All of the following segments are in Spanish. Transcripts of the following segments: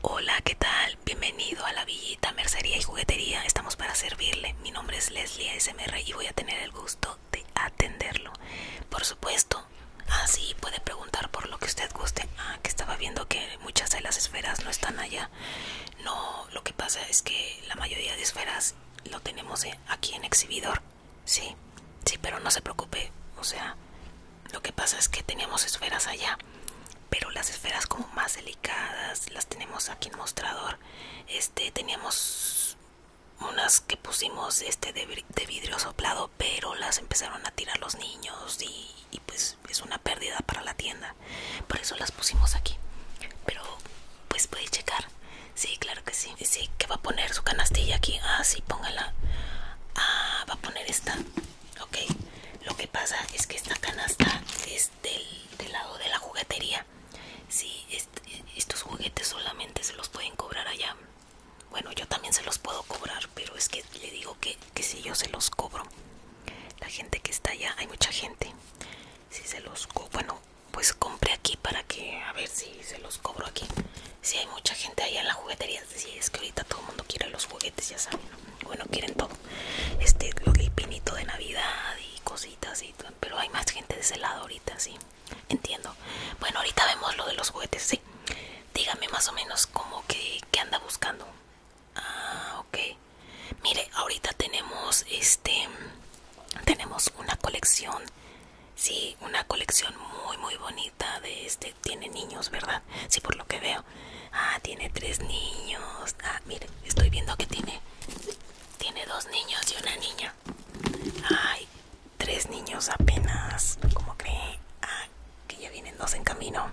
Hola, ¿qué tal? Bienvenido a la Villita Mercería y Juguetería. Estamos para servirle. Mi nombre es Leslie SMR y voy a tener el gusto de atenderlo. Por supuesto, así sí. puede preguntar por lo que usted guste. Ah, que estaba viendo que muchas de las esferas no están allá. No, lo que pasa es que la mayoría de esferas lo tenemos eh, aquí en exhibidor. Sí, sí, pero no se preocupe. O sea, lo que pasa es que teníamos esferas allá, pero las esferas como más delicadas las tenemos aquí en mostrador. Este teníamos unas que pusimos este de, vidrio soplado, pero las empezaron a tirar los niños y, pues es una pérdida para la tienda. Por eso las pusimos aquí. Pero pues puede checar. Sí, claro que sí. Sí, que va a poner su canastilla aquí. Ah, sí, póngala. Ah, va a poner esta ok lo que pasa es que esta canasta es del, lado de la juguetería si estos juguetes solamente se los pueden cobrar allá bueno yo también se los puedo cobrar pero es que le digo que, si yo se los cobro la gente que está allá hay mucha gente si se los bueno pues compré aquí para que a ver si se los cobro aquí si hay mucha gente allá en la juguetería si es que ahorita todo el mundo quiere los juguetes, ya saben, bueno, quieren todo, este, lo que pinito de Navidad y cositas y todo, pero hay más gente de ese lado ahorita, sí, entiendo. Bueno, ahorita vemos lo de los juguetes, sí. Dígame más o menos como que, anda buscando. Ah, ok. Mire, ahorita tenemos este tenemos una colección, sí, una colección muy muy bonita de este tiene niños, ¿verdad? Sí, por lo que veo. Ah, tiene tres niños. Ah, mire, estoy viendo que tiene tiene dos niños y una niña. Ay, tres niños apenas. Como cree? Ah, que ya vienen dos en camino.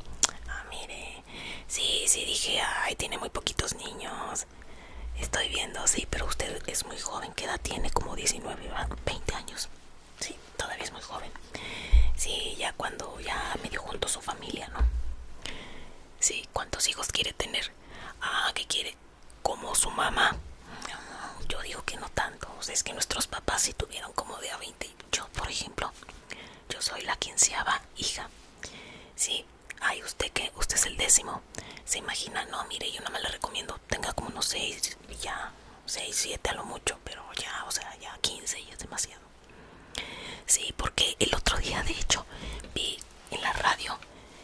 Ah, mire. Sí, sí, dije, ay, tiene muy poquitos niños. Estoy viendo, sí, pero usted es muy joven. ¿Qué edad tiene? Como 19, ¿verdad? 20 años. Sí, todavía es muy joven. Sí, ya cuando ya medio junto su familia, ¿no? Sí, ¿cuántos hijos quiere tener? Ah, que quiere como su mamá. Ah, yo digo que no tanto. es que nuestros papás si tuvieron como de a 20. Yo, por ejemplo, yo soy la quinceava hija. si ay, usted que usted es el décimo. Se imagina, no, mire, yo no me le recomiendo tenga como unos seis, ya, seis, siete a lo mucho, pero ya, o sea, ya 15 ya es demasiado. Sí, porque el otro día, de hecho, vi en la radio,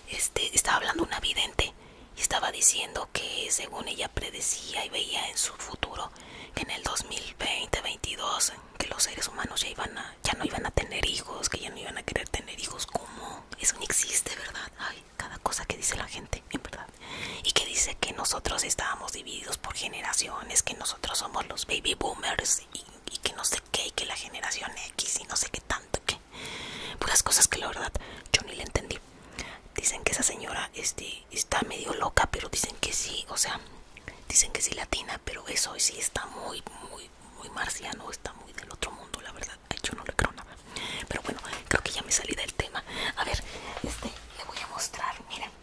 este, estaba hablando una vidente y estaba diciendo que según ella predecía y veía en su futuro que en el 2020 2022, que los seres humanos ya iban no iban a tener hijos, que ya no iban a querer tener hijos, como Eso no existe, ¿verdad? Ay, cada cosa que dice la gente, en verdad. Y que dice que nosotros estábamos divididos por generaciones, que nosotros somos los baby boomers y, que no sé qué, y que la generación X y no sé qué tanto, que puras cosas que la verdad yo ni le entendí. Dicen que esa señora este, está medio loca, pero dicen que sí, o sea, dicen que sí latina, pero eso sí está muy, muy, muy marciano, está muy del otro mundo, la verdad, yo no le creo nada. Pero bueno, creo que ya me salí del tema. A ver, este, le voy a mostrar, miren.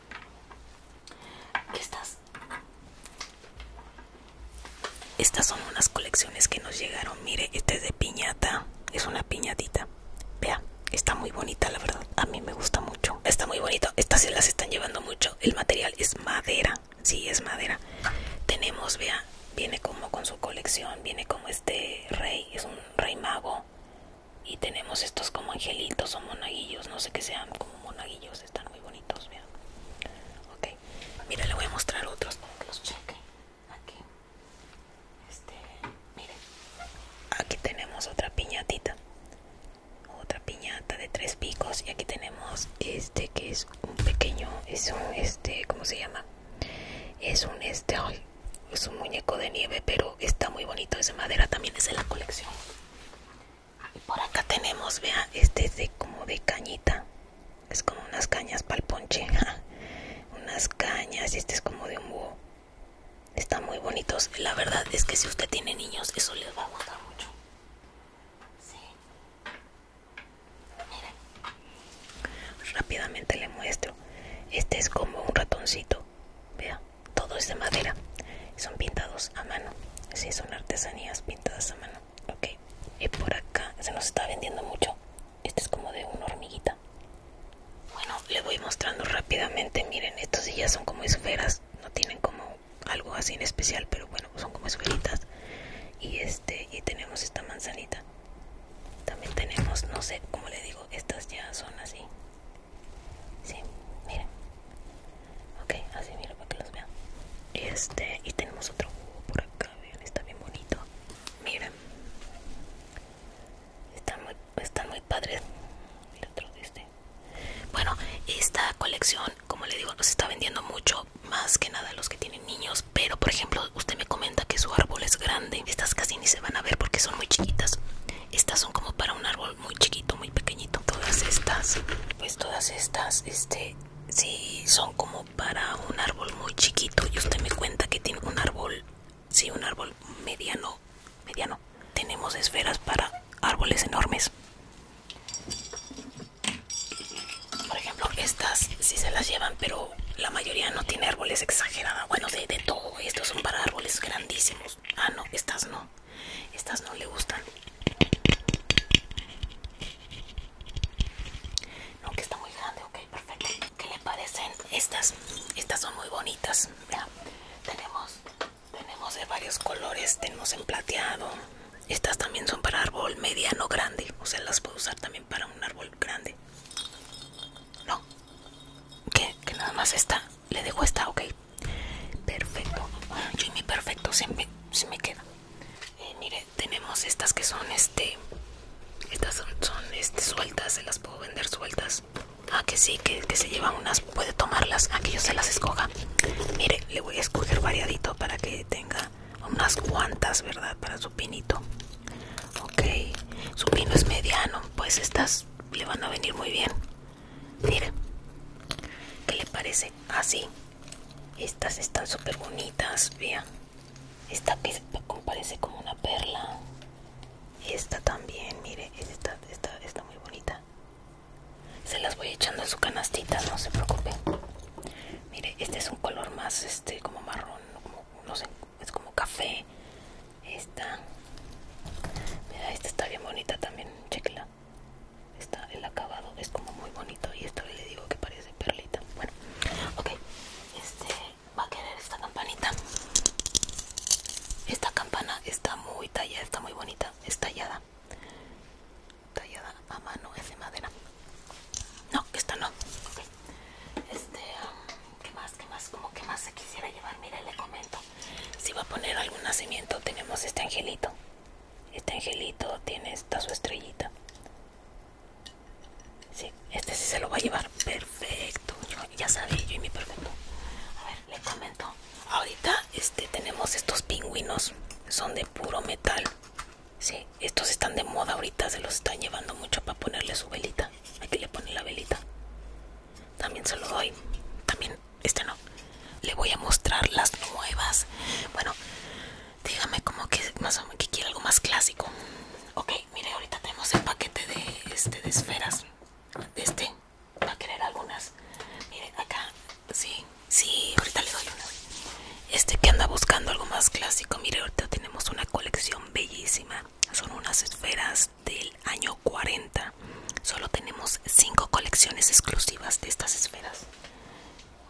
Estas Estas son unas colecciones que nos llegaron Mire, este es de piñata Es una piñatita Vea, está muy bonita la verdad A mí me gusta mucho Está muy bonito Estas se las están llevando mucho El material es madera Sí, es madera Tenemos, vea Viene como con su colección Viene como este rey Es un rey mago y tenemos estos como angelitos o monaguillos, no sé qué sean, como monaguillos están muy bonitos, vean. Ok, mira, le voy a mostrar otros para los Aquí, este, miren, aquí tenemos otra piñatita, otra piñata de tres picos. Y aquí tenemos este que es un pequeño, es un este, ¿cómo se llama? Es un este, hoy es un muñeco de nieve, pero está muy bonito. Es de madera, también es de la colección. Por acá tenemos, vea, este es de como de cañita. Es como unas cañas para el ponche. unas cañas este es como de un búho. Están muy bonitos. La verdad es que si usted tiene niños, eso les va a gustar mucho. Sí. Rápidamente le muestro. Este es como un ratoncito. Vea todo es de madera son pintados a mano sí, son artesanías pintadas a mano ok y por acá se nos está vendiendo mucho este es como de una hormiguita bueno le voy mostrando rápidamente miren estos ya son como esferas no tienen como algo así en especial pero bueno son como esferitas y este y tenemos esta manzanita también tenemos no sé cómo le digo estas ya son así Sí, miren. Ok, así miren para que los vean. Este, y tenemos otro jugo uh, por acá, vean, está bien bonito. Miren. Están muy, están padres. Mira otro este. Bueno, esta colección, como le digo, nos está vendiendo mucho, más que nada los que tienen niños. Pero, por ejemplo, usted me comenta que su árbol es grande. Estas casi ni se van a ver porque son muy chiquitas. Estas son como para un árbol muy, chiquito, muy pequeñito. Todas estas, pues todas estas, este, sí son como para un árbol muy chiquito. Y usted me cuenta que tiene un árbol, sí, un árbol mediano, mediano. Tenemos esferas para árboles enormes. Por ejemplo, estas sí se las llevan, pero la mayoría no tiene árboles exagerados Bueno, de, de todo, estos son para árboles grandísimos. Ah, no, estas no. Estas no le gustan. No, que está muy grande, ok, perfecto. ¿Qué le parecen? Estas, estas son muy bonitas. tenemos, tenemos de varios colores, tenemos en plateado. Estas también son para árbol mediano grande. O sea, las puedo usar también para un árbol grande. No. Que, que nada más esta. Le dejo esta, ok perfecto yo mi perfecto se me, me queda eh, mire tenemos estas que son este estas son, este, sueltas se las puedo vender sueltas ah que sí que, se llevan unas puede tomarlas que yo se las escoja mire le voy a escoger variadito para que tenga unas cuantas verdad para su pinito ok su pino es mediano pues estas le van a venir muy bien mire ¿qué le parece? Así. Ah, Estas están súper bonitas, vean. Esta que parece como una perla. Esta también, mire, esta, está muy bonita. Se las voy echando a su canastita, no se preocupe Mire, este es un color más, este, como marrón, como, no sé, es como café. Esta, esta está bien bonita también, chequela está el acabado es como muy bonito y esto le digo que parece perlita bueno ok este va a querer esta campanita esta campana está muy tallada está muy bonita es tallada tallada a mano es de madera no esta no este um, qué más qué más como que más se quisiera llevar mire le comento si va a poner algún nacimiento tenemos este angelito este angelito tiene esta su estrellita. Sí, este sí se lo va a llevar. Perfecto. ya sabía yo y mi perfecto. A ver, les comento. Ahorita este, tenemos estos pingüinos. Son de puro metal. Sí, estos están de moda ahorita. Se los están llevando mucho para ponerle su velita. Aquí le pone la velita. También se lo doy. También este no. Le voy a mostrar las nuevas. Bueno, dígame cómo que más o menos quiere algo más clásico. Ok, mire, ahorita tenemos el paquete de este de esferas. Este va a querer algunas. Mire, acá. Sí, sí, ahorita le doy una. Este que anda buscando algo más clásico. Mire, ahorita tenemos una colección bellísima. Son unas esferas del año 40. Solo tenemos cinco colecciones exclusivas de estas esferas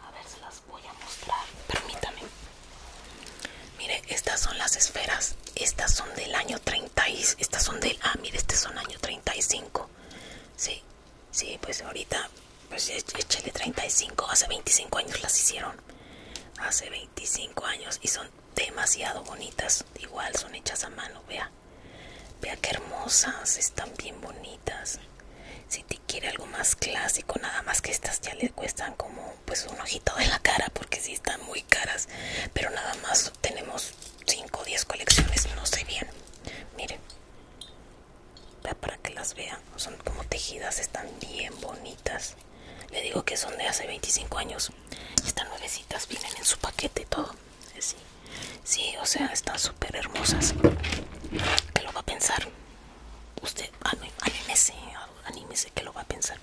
a ver se las voy a mostrar permítame mire estas son las esferas estas son del año 30 estas son del ah mire estas son año 35 sí sí pues ahorita pues e, échale 35 hace 25 años las hicieron hace 25 años y son demasiado bonitas igual son hechas a mano vea vea qué hermosas, están bien bonitas. Si te quiere algo más clásico, nada más que estas ya le cuestan como pues un ojito de la cara porque si están muy caras, pero nada más tenemos 5 o 10 colecciones, no sé bien. Miren, para que las vean, son como tejidas, están bien bonitas. Le digo que son de hace 25 años. están nuevecitas vienen en su paquete todo sí, sí o sea, están súper hermosas. ¿Qué lo va a pensar? Usted, ah, anímese, anímese, ¿qué lo va a pensar?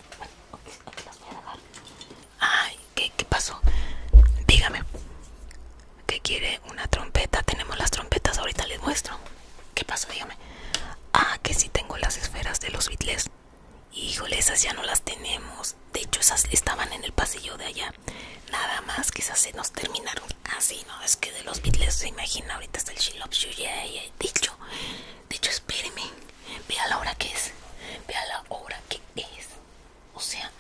Ay, ¿qué, pasó? Dígame, ¿qué quiere? Una trompeta, tenemos las trompetas, ahorita les muestro. ¿Qué pasó? Dígame. Ah, que sí tengo las esferas de los Beatles. Híjole, esas ya no las tenemos. De hecho, esas estaban en el pasillo de allá. Nada más quizás se nos terminaron. Así, ah, no, es que de los Beatles se imagina, ahorita está el She Loves You, yeah, dicho dicho hecho, vea la hora que es, vea la hora que es. O sea,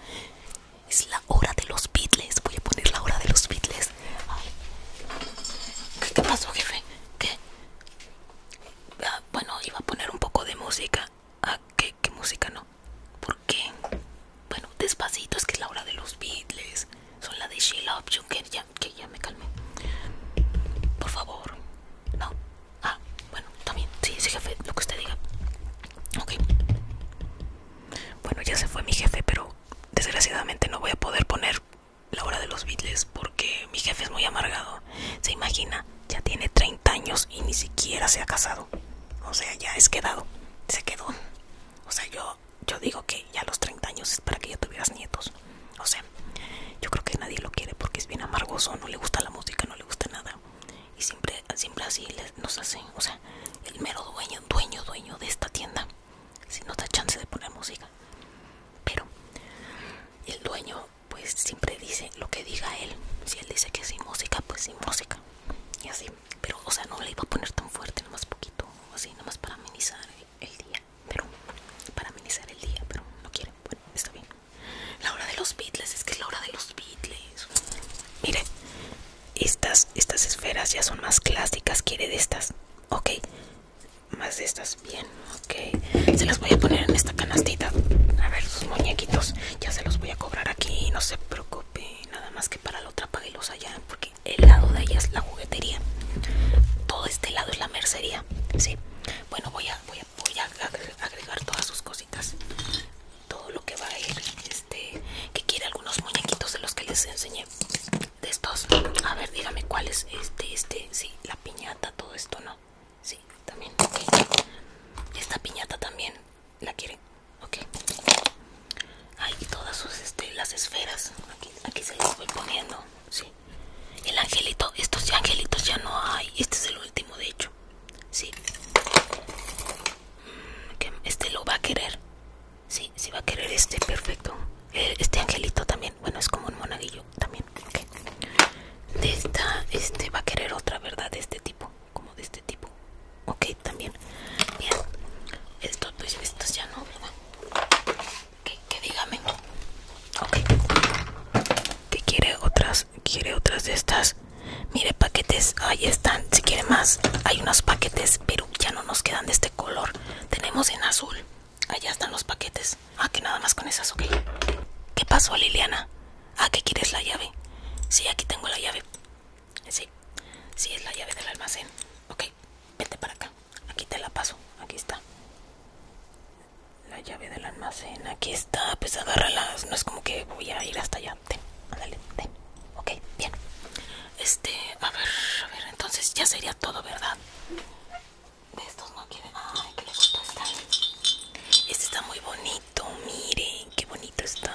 es la hora de los Beatles, voy a poner la hora de los Beatles. ¿Qué pasó, jefe? ¿Qué? Ah, bueno, iba a poner un poco de música. Ah, ¿Qué música no? ¿Por qué? Bueno, despacito es que es la hora de los Beatles. Son la de She Love You, que ya, que ya me calmé. Por favor. No. Ah, bueno, también. Sí, sí, jefe, lo que usted diga. Ok. Bueno, ya se fue mi jefe, pero desgraciadamente no voy a poder poner la hora de los Beatles porque mi jefe es muy amargado. Se imagina, ya tiene 30 años y ni siquiera se ha casado. O sea, ya es quedado. Se quedó. O sea, yo, yo digo que ya a los 30 años es para que ya tuvieras nietos. O sea, yo creo que nadie lo quiere porque es bien amargoso, no le gusta la música, no le gusta nada. Y siempre, siempre así nos hacen, o sea, el mero dueño, dueño, dueño de esta tienda. Si no da chance de poner música. Pero el dueño pues siempre dice lo que diga él. Si él dice que sin música, pues sin música. Y así pero o sea no le iba a poner tan fuerte nomás poquito así nomás para amenizar el, día pero para amenizar el día pero no quiere bueno está bien la hora de los beatles es que es la hora de los beatles mire estas estas esferas ya son más clásicas quiere de estas ok más de estas bien ok se las voy a poner en esta canastita a ver sus muñequitos ya se los voy a cobrar aquí no se preocupe nada más que para la otra pagué allá porque el lado de allá es la juguetería todo este lado es la mercería sí bueno voy a voy a, agregar todas sus cositas todo lo que va a ir este que quiere algunos muñequitos de los que les enseñé de estos a ver dígame cuál es este este sí la piñata todo esto no sí también esta piñata también la quiere ok hay todas sus este, las esferas aquí, aquí se las voy poniendo sí el angelito estos angelitos ya no hay este es el último de hecho sí mm, este lo va a querer sí sí va a querer este perfecto eh, este angelito también bueno es como un monaguillo también de esta este va a querer otra verdad de este tipo como de este tipo Okay, también bien estos pues estos ya no que, dígame ok que quiere otras quiere otras de estas mire paquetes ahí están si quiere más hay unos paquetes pero ya no nos quedan de este color tenemos en azul allá están los paquetes ah que nada más con esas ok ¿Qué pasó Liliana? Ah, ¿qué quieres la llave. Sí, aquí tengo la llave. Sí, sí es la llave del almacén. Ok, vete para acá. Aquí te la paso. Aquí está. La llave del almacén. Aquí está. Pues agárralas. No es como que voy a ir hasta allá. Ten, ándale, ten. Ok, bien. Este, a ver, a ver. Entonces ya sería todo, ¿verdad? De estos no Ay, que le Este está muy bonito. Miren, qué bonito está.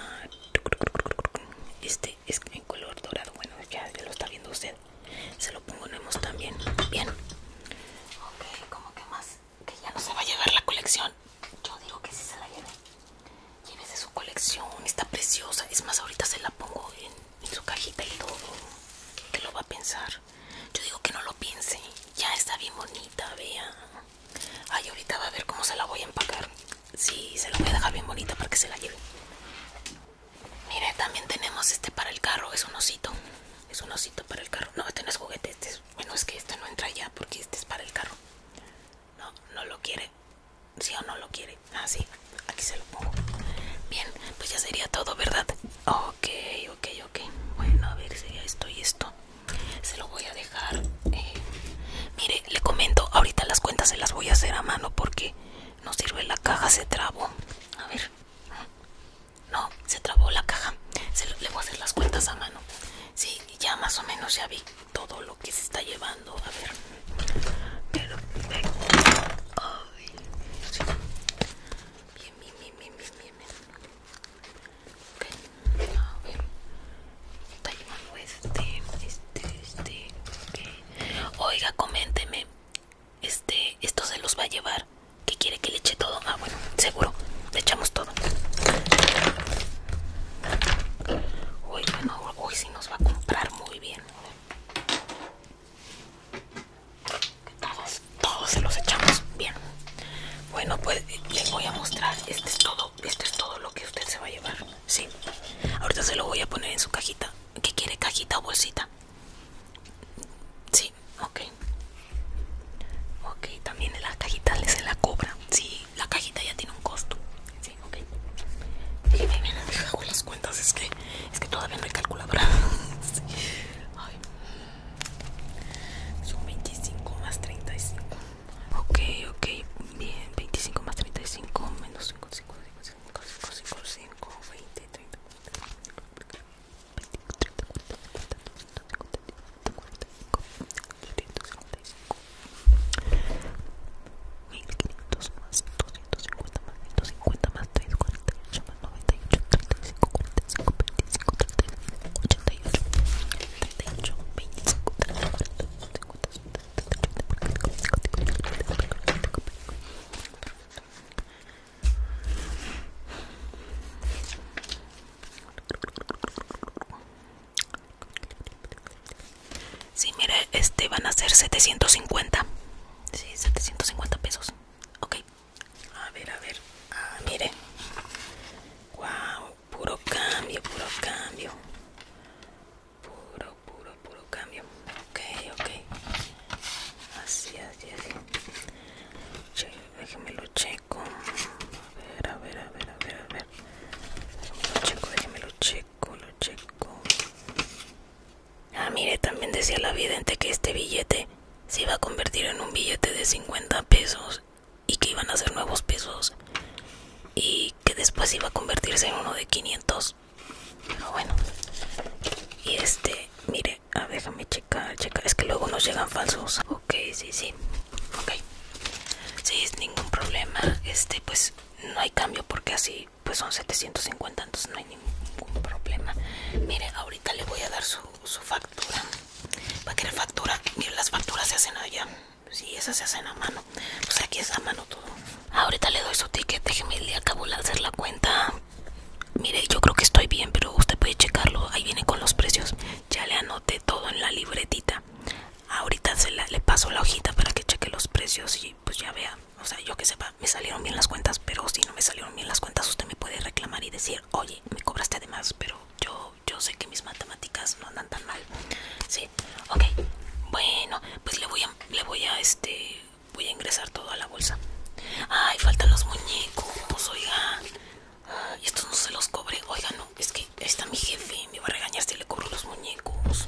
Este este es en color dorado bueno ya, lo está viendo usted se lo ponemos también bien ok como que más que ya no se va a llevar la colección yo digo que sí se la lleve llévese su colección está preciosa es más ahorita se la pongo en, su cajita y todo qué lo va a pensar yo digo que no lo piense ya está bien bonita vea ay ahorita va a ver cómo se la voy a empacar Sí, se lo voy a dejar bien bonita para que se la lleve. Mire, también tenemos este para el carro, es un osito. Es un osito para el carro. No, este no es juguete, este Bueno, es que este no entra ya porque este es para el carro. No, no lo quiere. Sí o no lo quiere. Ah, sí, aquí se lo pongo. Bien, pues ya sería todo, ¿verdad? Ok, ok, ok. Bueno, a ver, si esto y esto. Se lo voy a dejar. Eh, Mire, le comento, ahorita las cuentas se las voy a hacer a mano porque no sirve la caja, se trabó. A ver. No, se trabó la caja. Se, le voy a hacer las cuentas a mano. Sí, ya más o menos ya vi todo lo que se está llevando. A ver. Ay, Bien, bien, bien, bien, bien, bien. Okay. A ver. Está llevando este, este, este. Oiga, coménteme. Este, esto se los va a llevar. ¿Que quiere que le eche todo? Ah, bueno, seguro. Le echamos todo. Uy, bueno, hoy sí nos va a comprar muy bien. Todos, todos se los echamos bien. Bueno, pues les voy a mostrar. Este es todo, esto es todo lo que usted se va a llevar. Sí. Ahorita se lo voy a poner en su cajita. ¿Qué quiere? ¿Cajita o bolsita? Sí, ok. Ok, también en las cajitas les se la cobra. Sí, la cajita ya tiene un costo. Sí, ok. Y me hago las cuentas, es que, es que todavía no hay calculadora. sí. Ay. Son 25 más 35. Ok, ok, bien. 25 más 35 menos 55 5, 5, 5, 5, 5, 5, 5, 20, 30, 40, cincuenta 250 150 45, 25, Sí, mire, este van a ser 750. Sí, 750 pesos. Ok. A ver, a ver. Ah, mire. Wow, puro cambio, puro cambio puro puro puro cambio ok ok así así así che, lo checo a ver a ver a ver a ver a lo checo déjeme lo checo lo checo ah mire también decía la vidente que este billete se iba a convertir en un billete de 50 pesos y que iban a ser nuevos pesos y que después iba a convertirse en uno de 500 bueno y este mire a déjame checar checar es que luego nos llegan falsos ok sí sí ok sí es ningún problema este pues no hay cambio porque así pues son 750 entonces no hay ningún problema mire ahorita le voy a dar su, factura va a querer factura mire las facturas se hacen allá si esas se hacen a mano o pues sea, aquí es a mano todo. Ahorita le doy su ticket, déjeme, le acabo de hacer la cuenta. Mire, yo creo que estoy bien, pero usted puede checarlo, ahí viene con los precios. Ya le anoté todo en la libretita. Ahorita se le paso la hojita para que cheque los precios y pues ya vea. O sea, yo que sepa, me salieron bien las cuentas, pero si no me salieron bien las cuentas, usted me puede reclamar y decir, oye, me cobraste además, pero yo, yo sé que mis matemáticas no andan tan mal. Sí, Ok. Bueno, pues le voy a, le voy a, este, voy a ingresar todo a la bolsa. Ay, faltan los muñecos, oiga. Y estos no se los cobre, Oigan, no, es que ahí está mi jefe. Me va a regañar si le cobro los muñecos.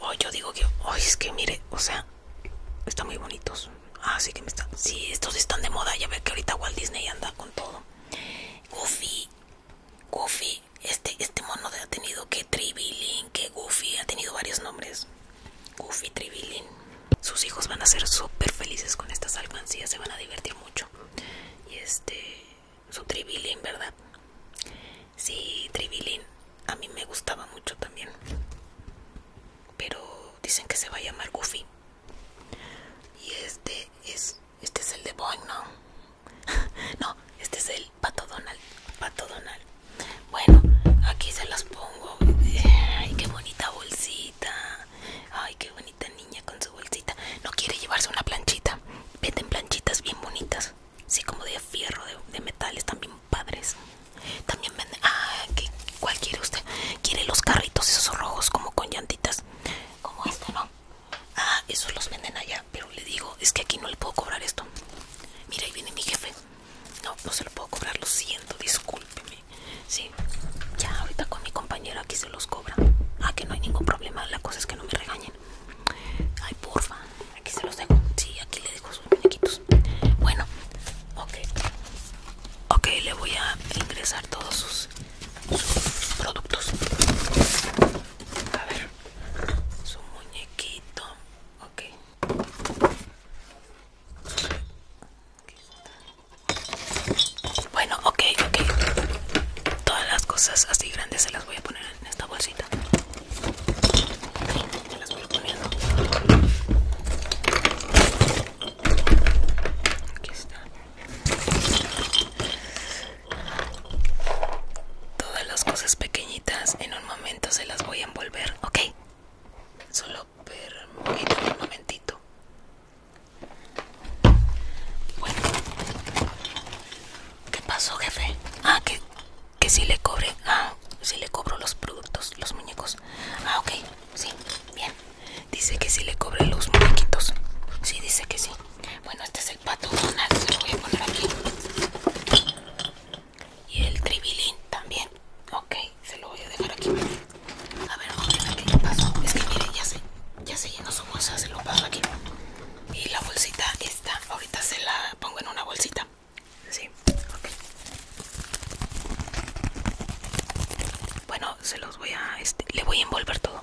Oh, yo digo que, Ay, es que mire, o sea, están muy bonitos. Ah, sí que me están. Sí, estos están de moda. Ya ve que ahorita Walt Disney anda con todo. Goofy, Goofy este, este mono ha tenido que Tribilin, que Goofy, ha tenido varios nombres. Goofy, Tribilin. Sus hijos van a ser súper felices con estas alcancías, se van a divertir mucho. Y este, su Tribilin, ¿verdad? Sí, Tribilin. a mí me gustaba mucho también. Pero dicen que se va a llamar Goofy. Y este es, este es el de Boing, ¿no? no, este es el pato Donald. Pato Donald. Bueno, aquí se las pongo. Eh, ay, qué bonita bolsita. Ay, qué bonita niña con su bolsita. No quiere llevarse una planchita. Venden planchitas bien bonitas. Sí, como de fierro, de, metales, también padres. También venden. Ah, ¿qué, ¿cuál quiere usted? Quiere los carritos esos rojos, como con llantitas. Como este, ¿no? Ah, esos los venden allá. Pero le digo, es que aquí no le puedo cobrar esto. Mira, ahí viene mi jefe. No, no se lo puedo cobrar, lo siento, discúlpeme. Sí, ya ahorita con mi compañero aquí se los cobra. Ah, que no hay ningún problema, la cosa es que no me regañen. Ay, porfa, aquí se los dejo. Sí, aquí le dejo sus muñequitos. Bueno, ok. Ok, le voy a ingresar todos sus, sus productos. A ver, su muñequito. Ok. Bueno, ok, ok. Todas las cosas así grandes se las voy a poner en esta bolsita. Se las voy poner. Aquí está. Todas las cosas pequeñitas en momento se las voy a envolver, ¿ok? Solo permítame un momentito. Bueno. ¿Qué pasó, jefe? Ah, que, si le cobre. Ah, si le cobro los productos, los muñecos. Ah, ok. Sí, bien. Dice que si le cobre los muñequitos. Sí, dice que sí. Bueno, este es el pato Donald. Se lo voy a poner aquí y el tribilín también. Ok, se lo voy a dejar aquí. A ver, ¿dónde qué pasó? Es que miren, ya sé ya sé, llenó su bolsa, se lo paso aquí. Y la bolsita está, ahorita se la pongo en una bolsita. Sí, ok. Bueno, se los voy a, este, le voy a envolver todo.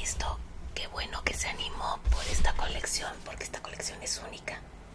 Listo, qué bueno que se animó por esta colección, porque esta colección es única.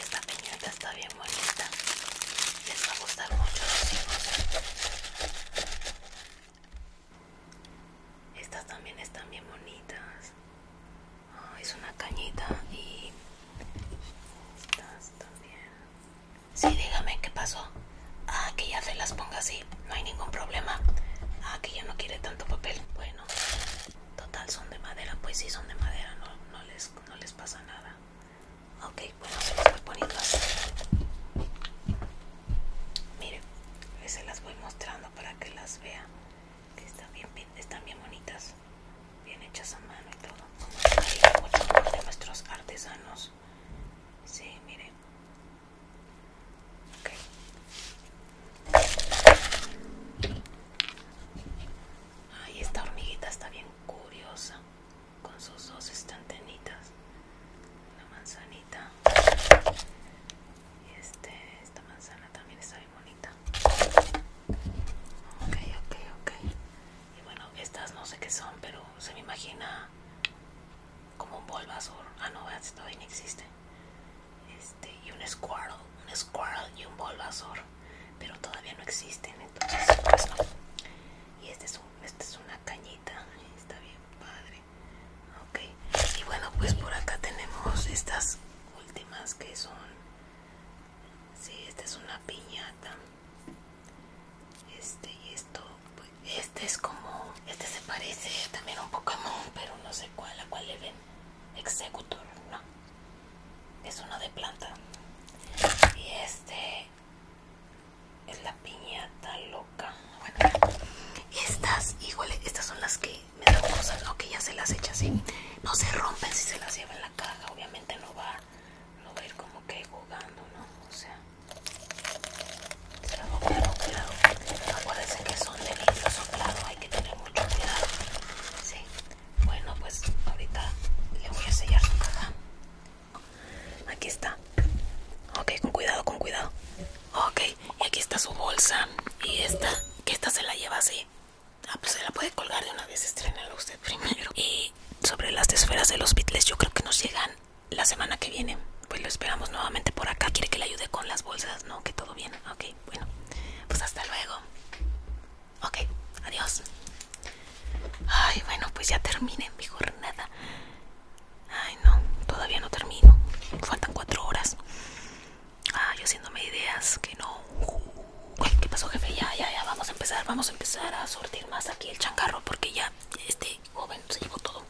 Esta piñata está bien bonita. Les va a gustar mucho los Estas también están bien bonitas. Ah, es una cañita y estas también. Sí, dígame qué pasó. Ah, que ya se las ponga así no hay ningún problema. aquí ah, ya no quiere tanto papel. Bueno, total son de madera, pues sí son de madera, no, no, les, pasa nada. Ok, bueno, se las voy poniendo así. Miren, se las voy mostrando para que las vean. están bien, bien, están bien bonitas, bien hechas a mano y todo. de nuestros artesanos. Sí, miren, Ay, esta hormiguita está bien curiosa con sus dos estantenitas. La manzanita. Y este, esta manzana también está bien bonita. Ok, ok, ok. Y bueno, estas no sé qué son, pero se me imagina como un bolvasor, Ah, no, esto todavía no existe este, y un squirrel un squirrel y un Bulbasaur, pero todavía no existen, entonces pues Y este es, este es una cañita, está bien padre. Ok, y bueno, pues por acá tenemos estas últimas que son, sí, esta es una piñata. Este y esto este es como, este se parece también a un Pokémon, pero no sé cuál, a cuál le ven. Executor, no. Es uno de planta. Y este es la piñata loca. Bueno, estas, híjole, estas son las que me dan cosas. que ya se las echa así. No se rompen si se las lleva en la caja. Obviamente no va, no va a ir como que jugando, ¿no? O sea, Acuérdense que son de soplado, hay que tener mucho cuidado. Sí. Bueno, pues ahorita le voy a sellar su caja. Aquí está. Ok, con cuidado, con cuidado. Ok, y aquí está su bolsa. Y esta, que esta se la lleva así. Ah, pues se la puede colgar de una vez, estrenalo usted primero. Y sobre las esferas de los Beatles, yo creo que nos llegan la semana que viene pues lo esperamos nuevamente por acá. ¿Quiere que le ayude con las bolsas? No, que todo bien. Ok, bueno. Pues hasta luego. Ok, adiós. Ay, bueno, pues ya terminé mi jornada. Ay, no, todavía no termino. Faltan cuatro horas. Ay, yo haciéndome ideas que no. ¿Qué pasó, jefe? Ya, ya, ya. Vamos a empezar, vamos a empezar a sortir más aquí el changarro porque ya este joven se llevó todo.